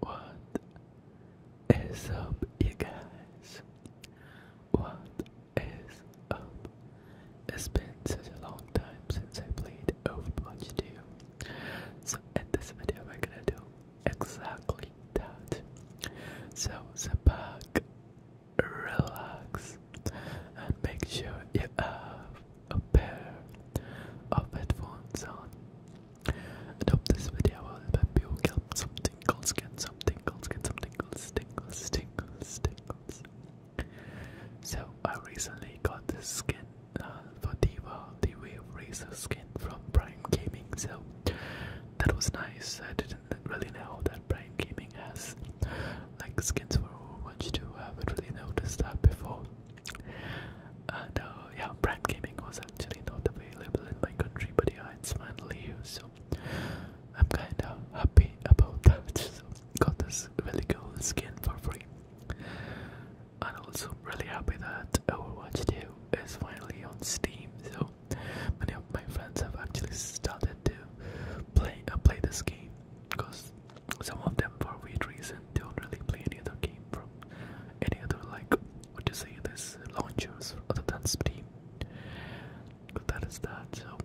What is up, you guys? What is up? It's been such a long time since I played Overwatch 2. So, in this video, we're gonna do exactly that. So, sit back, relax, and make sure you have a pair of headphones on. And hope this video will help you get some tingles, get some tingles, get some tingles, tingles, tingles, tingles. So I recently got the skin uh, for Diva, the Wave Razor skin from Prime Gaming, so that was nice. I didn't really know that Prime Gaming has like skins for Overwatch 2. I haven't really noticed that before. And uh, yeah, brand gaming was actually not available in my country, but yeah, it's finally here, so I'm kinda happy about that. So, got this really cool skin for free. And also, really happy that Overwatch 2 is finally on Steam, so many of my friends have actually started to play uh, play this game because some of them for weird reason don't really play any other game from any other like what to say this launchers other than Steam. But that is that. So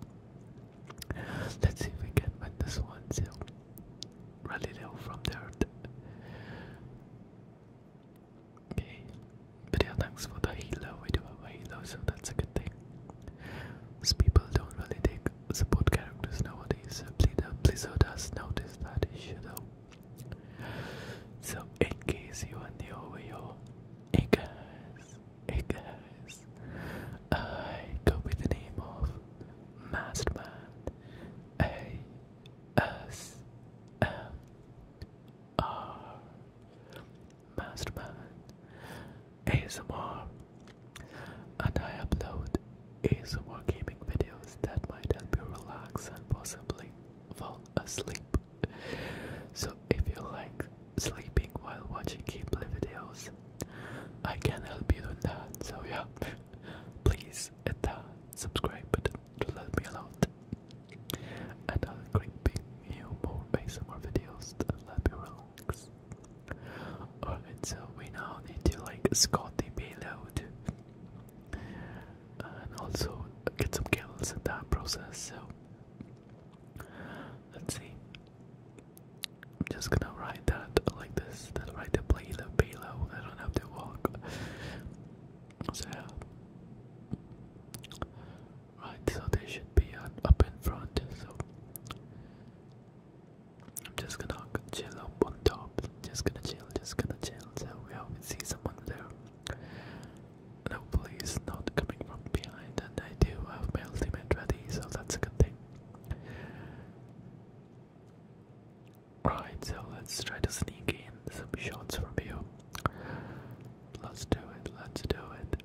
let's see if we can win this one. So rally down from there. Okay, but yeah, thanks for the halo. We do have a halo, so that's a good thing. Because people don't really take support characters nowadays. Blizzard has uh, noticed that issue though. So, in case you want new over here, hey guys, hey guys, I go by the name of Mastermind A S M R Mastermind ASMR, and I upload ASMR gaming videos that might help you relax and possibly fall asleep. So if you like sleeping while watching gameplay videos, I can help you do that. So yeah, please hit the subscribe button to let me know. And I'll bring you more ASMR videos to let me relax. Alright, so we now need to like Scotty Payload and also get some kills in that process. So let's see. I'm just gonna ride that like this. That's right to play the payload. I don't have to walk. So right, so they should be on, up in front. So I'm just gonna chill up on top. Just gonna chill. Just gonna chill. So we always see someone there. No police not coming from behind, and I do have my ultimate ready, so that's a good thing. Right, so let's try to sneak in some shots from you. Let's do it, let's do it.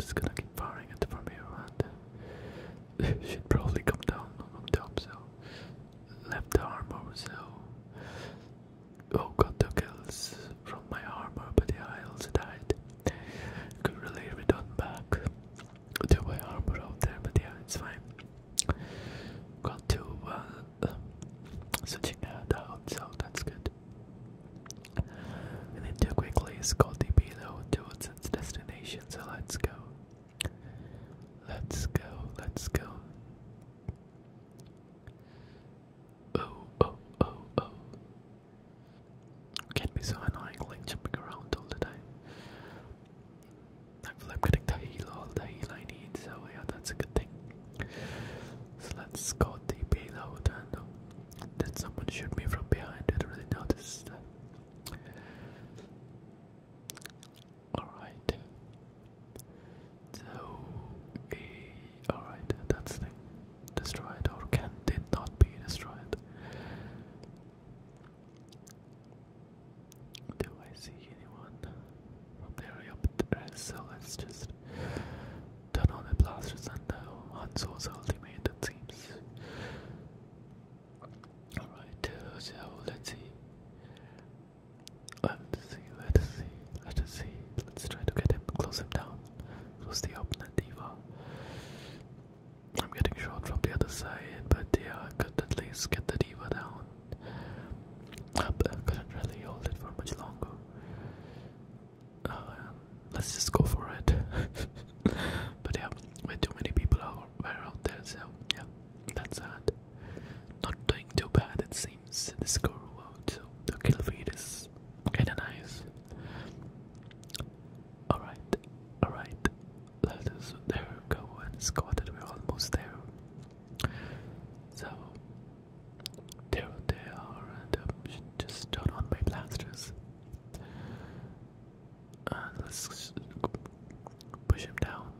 just gonna keep firing it from here and should probably come down on top, so left armor, so oh got two kills from my armor, but yeah, I also died. Could really redone back to my armor out there, but yeah, it's fine. Got two uh, switching out, so that's good. And then too quickly Scotty below towards its destination, so let's go. Let's go, let's go. Oh, oh, oh, oh. It can be so annoying, jumping around all the time. Thankfully, I'm getting the heal, all the heal I need, so yeah, that's a good thing. So let's go deep out and did someone shoot me from behind? didn't really notice that. Alright. So, uh, alright, that's the destroyed or can did not be destroyed. Do I see anyone from the area of interest? So let's just turn on the blasters and uh, Hanzo's ultimate, teams. Alright, so let's see. Let's see, let's see, let's see. Let's try to get him, close him down. Close the opponent diva. I'm getting shot from the other side, but yeah, I could at least get the diva down. I couldn't really hold it for much longer. Uh, let's just go for it. but yeah, way too many people are, out there, so yeah, that's sad. Not doing too bad, it seems seems the score to the Kilvid is kinda nice. Alright, alright. Let us there go and score that we're almost there. So there they are and um, just turn on my blasters. And let's push him down.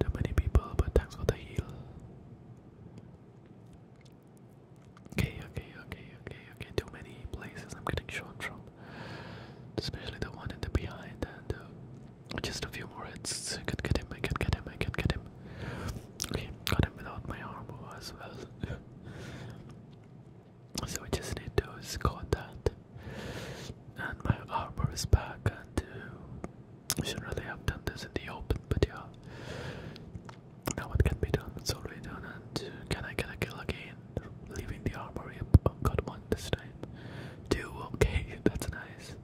Too many people, but thanks for the heal. Okay, okay, okay, okay, okay. Too many places I'm getting shot from. Especially the one in the behind and uh, just a few more I can get him, I can get him, I can get him. Okay, got him without my armor as well. so I just need to score that. And my armor is back and uh, I should really have done this in the open, but yeah. Now it can be done, it's already done, uh, can I get a kill again? Leaving the armory, oh got one this time. Two, okay, that's nice.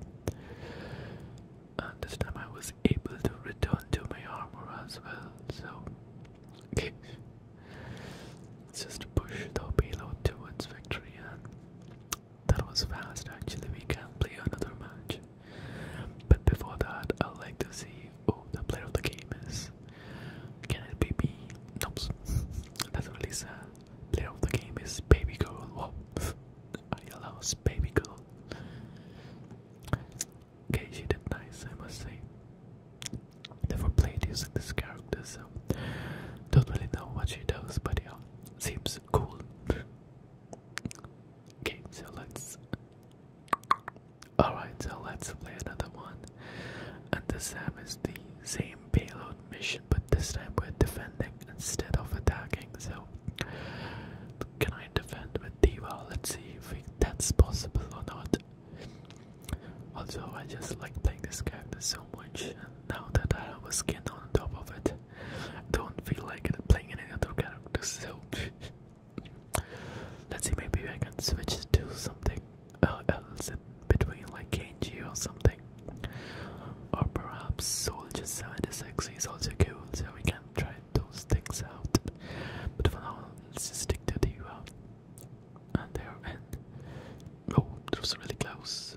And this time I was able to return to my armor as well, so... Okay. Let's just push the payload towards victory that was fast actually, we can play another match. But before that, I'd like to see who the player of the game is. Can it be me? Nope. That's really sad. Player of the game is Baby Girl. Whoa. Oh, I allows Baby Girl. Okay, she did nice, I must say. Never played using this character, so don't really know what she does, but yeah, seems cool. Okay, so let's. Alright, so let's play another one. And the same is the same payload mission, but this time we're defending instead of attacking. So, can I defend with Diva? Let's see if that's possible or not. Also, I just like playing this character so much. Now that I have a skin on top of it, don't feel like playing any other character, so let's see. Maybe I can switch to something uh, else between, like Kenji or something, or perhaps Soldier 76 is also cool, so we can try those things out. But for now, let's just stick to the uh, and there and oh, it was really close.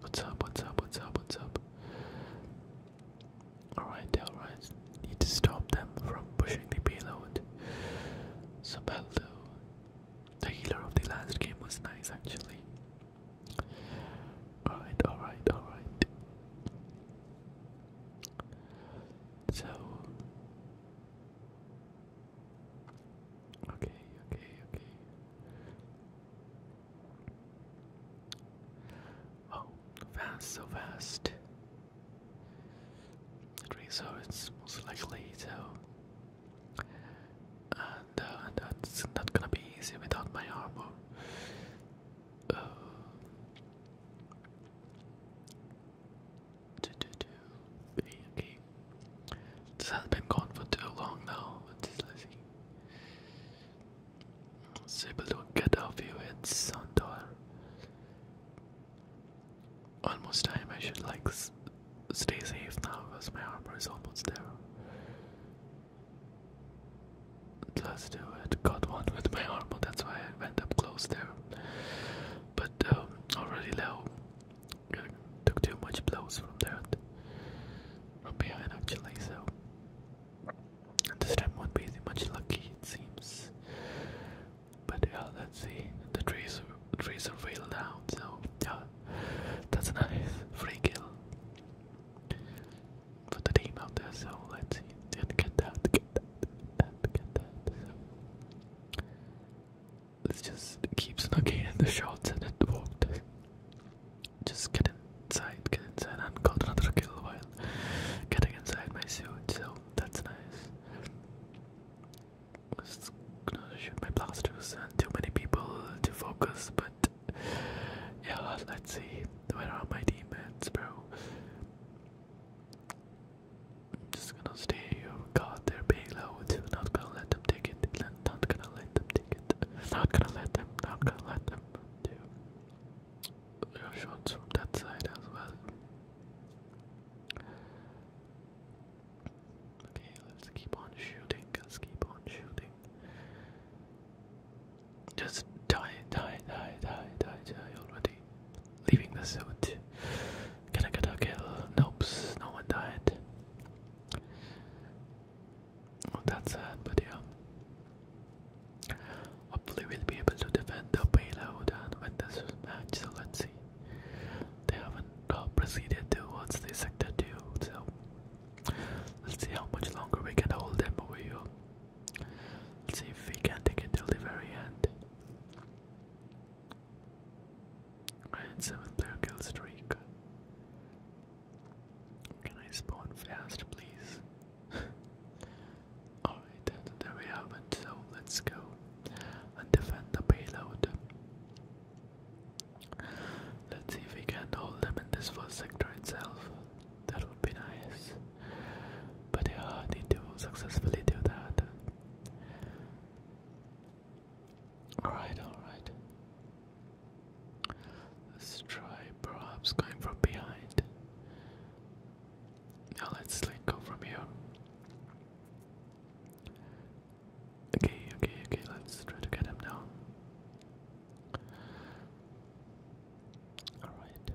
What's up? What's up? What's up? What's up? Alright, alright. Need to stop them from pushing the payload. So Sabeldo. The healer of the last game was nice actually. Alright, alright, alright. So Okay, okay, okay. Oh, fast, so fast. Okay, so it's most likely so. Uh, and, that's not gonna be easy without my armor. Uh. This has been gone for too long now. I was able to get a few hits on door. Almost time, I should like stay safe now because my armor is almost there. Let's do it. Got one with my armor, that's why I went up close there. But um, already low. Uh, took too much blows from that behind actually, so this time won't be much lucky it seems. But yeah, let's see. The trees trees are way out, so yeah. That's a nice free kill for the team out there, so let's see. Didn't get that, get that, get that, let's just keep snugging in the shots and it worked. Just get inside, get inside, and got another kill while getting inside my suit, so that's nice. Just gonna shoot my blasters and too many people to focus, but yeah, let's see. Where are my teammates, bro? I'm just gonna stay here. God, they payload. being loud. Not gonna let them take it. Not gonna let them take it. Not gonna let them. Not gonna let them. Okay, let's keep on shooting. let keep on shooting. Just die, die, die, die, die, die already. Leaving the suit. Can I get a kill? Nope, no one died. Oh, that's sad, but yeah. Hopefully, we'll be able to defend the payload and win this match. So let's see. They haven't uh, proceeded towards the sector two, so let's see how much longer we can hold them over here. Let's see if we can take it till the very end. And seven player kill streak. Can I spawn fast, please? Alright, there we have it. So let's go and defend the payload. Let's see if we can hold them in this first sector itself. That would be nice. But yeah, I need to successfully do that. Alright, alright. Let's try perhaps going from behind. Now let's like go from here. Okay, okay, okay, let's try to get him down. Alright.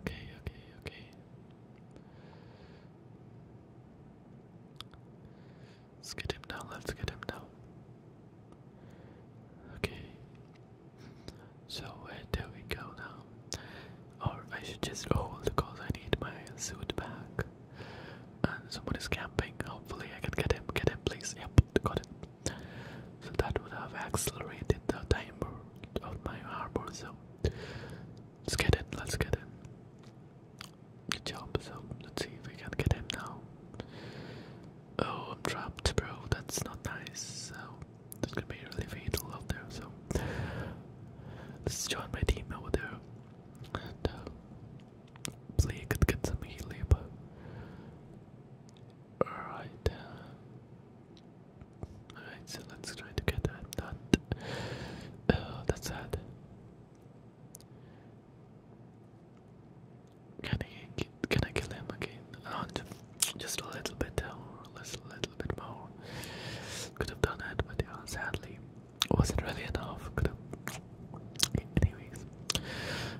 Okay, okay, okay. Let's get him down, let's get him down. Okay. So uh, there we go now. Or oh, I should just hold oh, because I need my suit back. And someone is camping. Hopefully I can get him, get him please. Yep, got it. So that would have accelerated the timer of my armor, so let's get it, let's get it. Good job, so let's see if we can get him now. Oh, I'm trapped, bro. That's not nice. So that's gonna be really fatal out there. So let's join my team over there and uh, could get some healing. Alright. Uh, alright, so let's try to get that. That. Oh, that's sad. Can I can I kill him again? And just a little bit or a little, bit more. Could have done that, but yeah, sadly, it wasn't really enough. Could have. Anyways,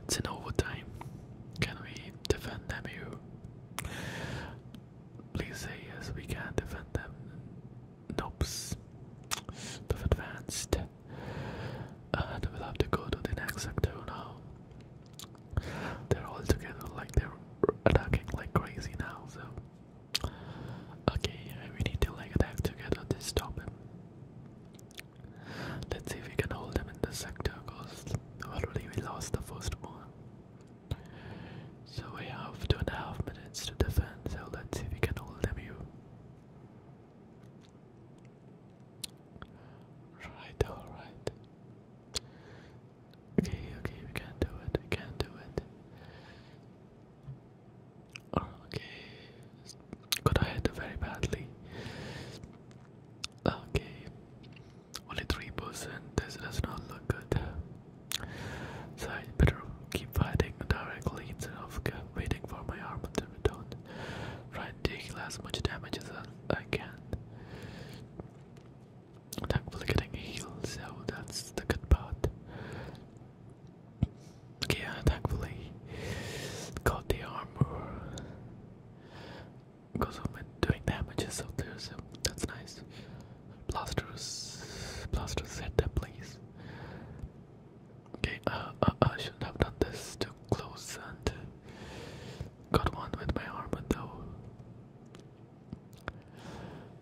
it's an overtime. Can we defend them? You please say yes. We can defend them. Nope. They've advanced we'll have to go to the next sector now. They're all together, like they're attacking like crazy now. So, okay, we need to like attack together to stop him. Let's see if we can hold them in the sector, cause already we lost the first one. So we have two and a half minutes to defend. So let's see if we can hold them. You. Right, alright. Okay, okay, we can do it, we can do it. okay, got ahead very badly. Okay, only 3%, this does not look good. So I better keep fighting directly instead of waiting for my arm to be done. Try and take as much damage as again. Thankfully getting healed, so that's the good part. Yeah, thankfully got the armor because I'm doing damages out so that's nice. Blasters, blasters hit them, please. Okay, uh, uh I shouldn't have done this to close and got one with my armor though.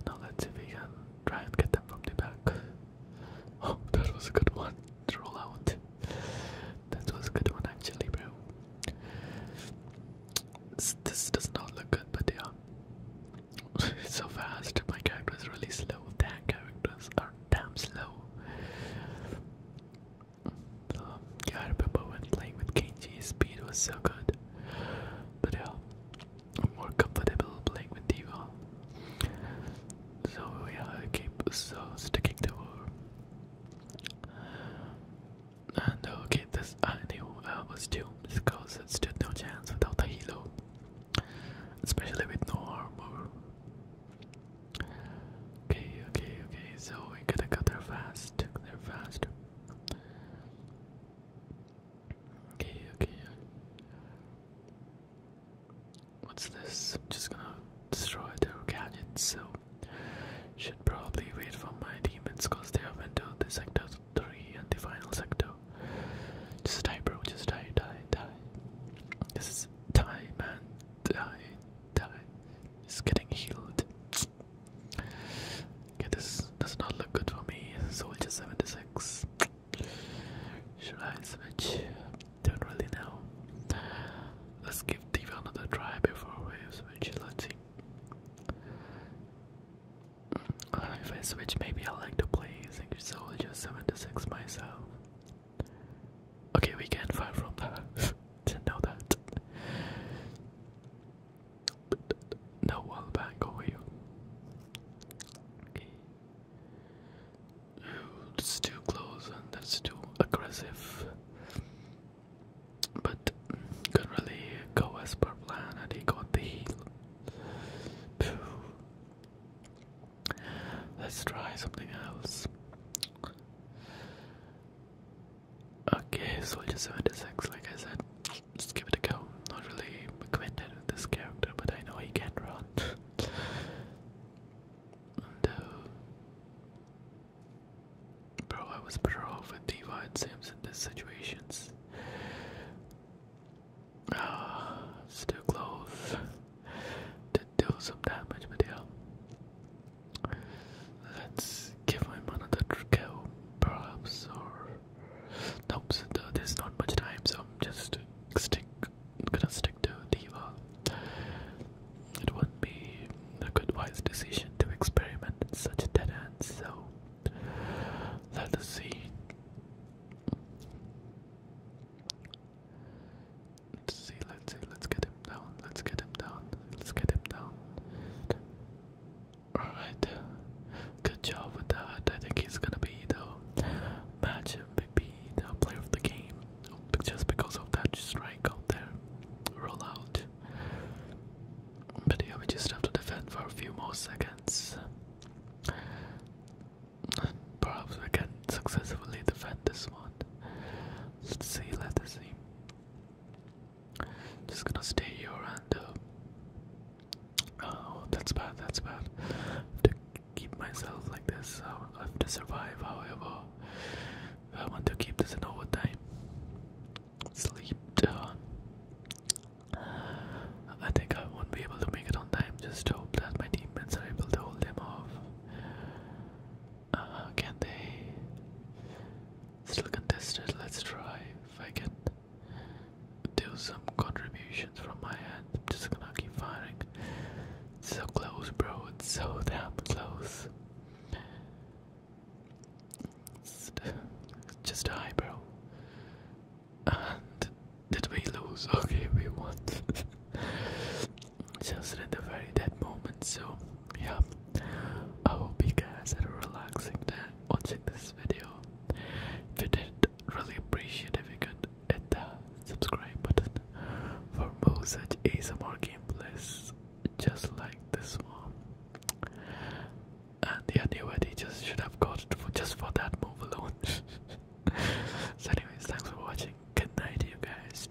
Now let's see if we can try and get them from the back. Oh, that was a good one. Roll out. That was a good one actually, bro. This, this does not look good, but yeah. so fast. My character is really slow. That characters are damn slow. Um, yeah, I remember when playing with KG, speed was so good. But yeah, i more comfortable playing with Diva. So yeah, I keep so sticking to her. And uh, okay, this uh, I was doomed because it stood no chance without the helo. Especially with no armor. Okay, okay, okay, so we gotta go there fast, go there fast. Okay, okay. What's this? I'm just gonna destroy their gadgets, so should probably wait for my demons cause they have entered the sector three and the final sector. Just die bro, just die, die, die. This is die man die, die. It's getting healed. Okay, this does not look good for me. Soldier 76. Should I switch? Don't really know. Let's give Diva another try before we switch. Let's see. if I switch, maybe I like to play Soldier 76 myself. Okay, we can find from that. Didn't know that. No wall over here. Okay. it's too close and that's too aggressive. But mm, could really go as per plan and he got the heal. Let's try something else. Okay, so just soldier 76, like I said, Let's give it a go. Not really acquainted with this character, but I know he can run. Uh, bro, I was better off with Diva in these situations. Ah, still close. Did do some damage, but yeah. Let's give him another go, oh, perhaps, or nope. there's not much time, so I'm just stick. Gonna stick to Diva. Uh, it wouldn't be a good wise decision to experiment in such a dead end. So let us see. Let's see, let's see, let's get him down, let's get him down, let's get him down. Alright, good job with that. I think he's gonna be the match MVP, the player of the game, just because of that strike out there, roll But yeah, we just have to defend for a few more seconds. perhaps we can successfully defend this one. Let's see, let's see. Just gonna stay here and uh, oh, that's bad. That's bad. I have to keep myself like this. I have to survive. However, I want to keep this in overtime. Sleep. Uh, I think I won't be able to make it on time. Just hope that my teammates are able to hold them off. Uh, can they? Still contested. Let's try if I can do some contributions from my end. I'm just gonna keep firing. So close, bro. It's so damn close. It's just high, bro. And did we lose? Okay, we won. just at the very dead moment, so yeah, I hope you guys had a relaxing time watching this video. If you did, really appreciate if you could hit the subscribe button for more such ASMR gameplays just like this one. And yeah, new just should have got for just for that move alone. so anyways, thanks for watching. Good night you guys.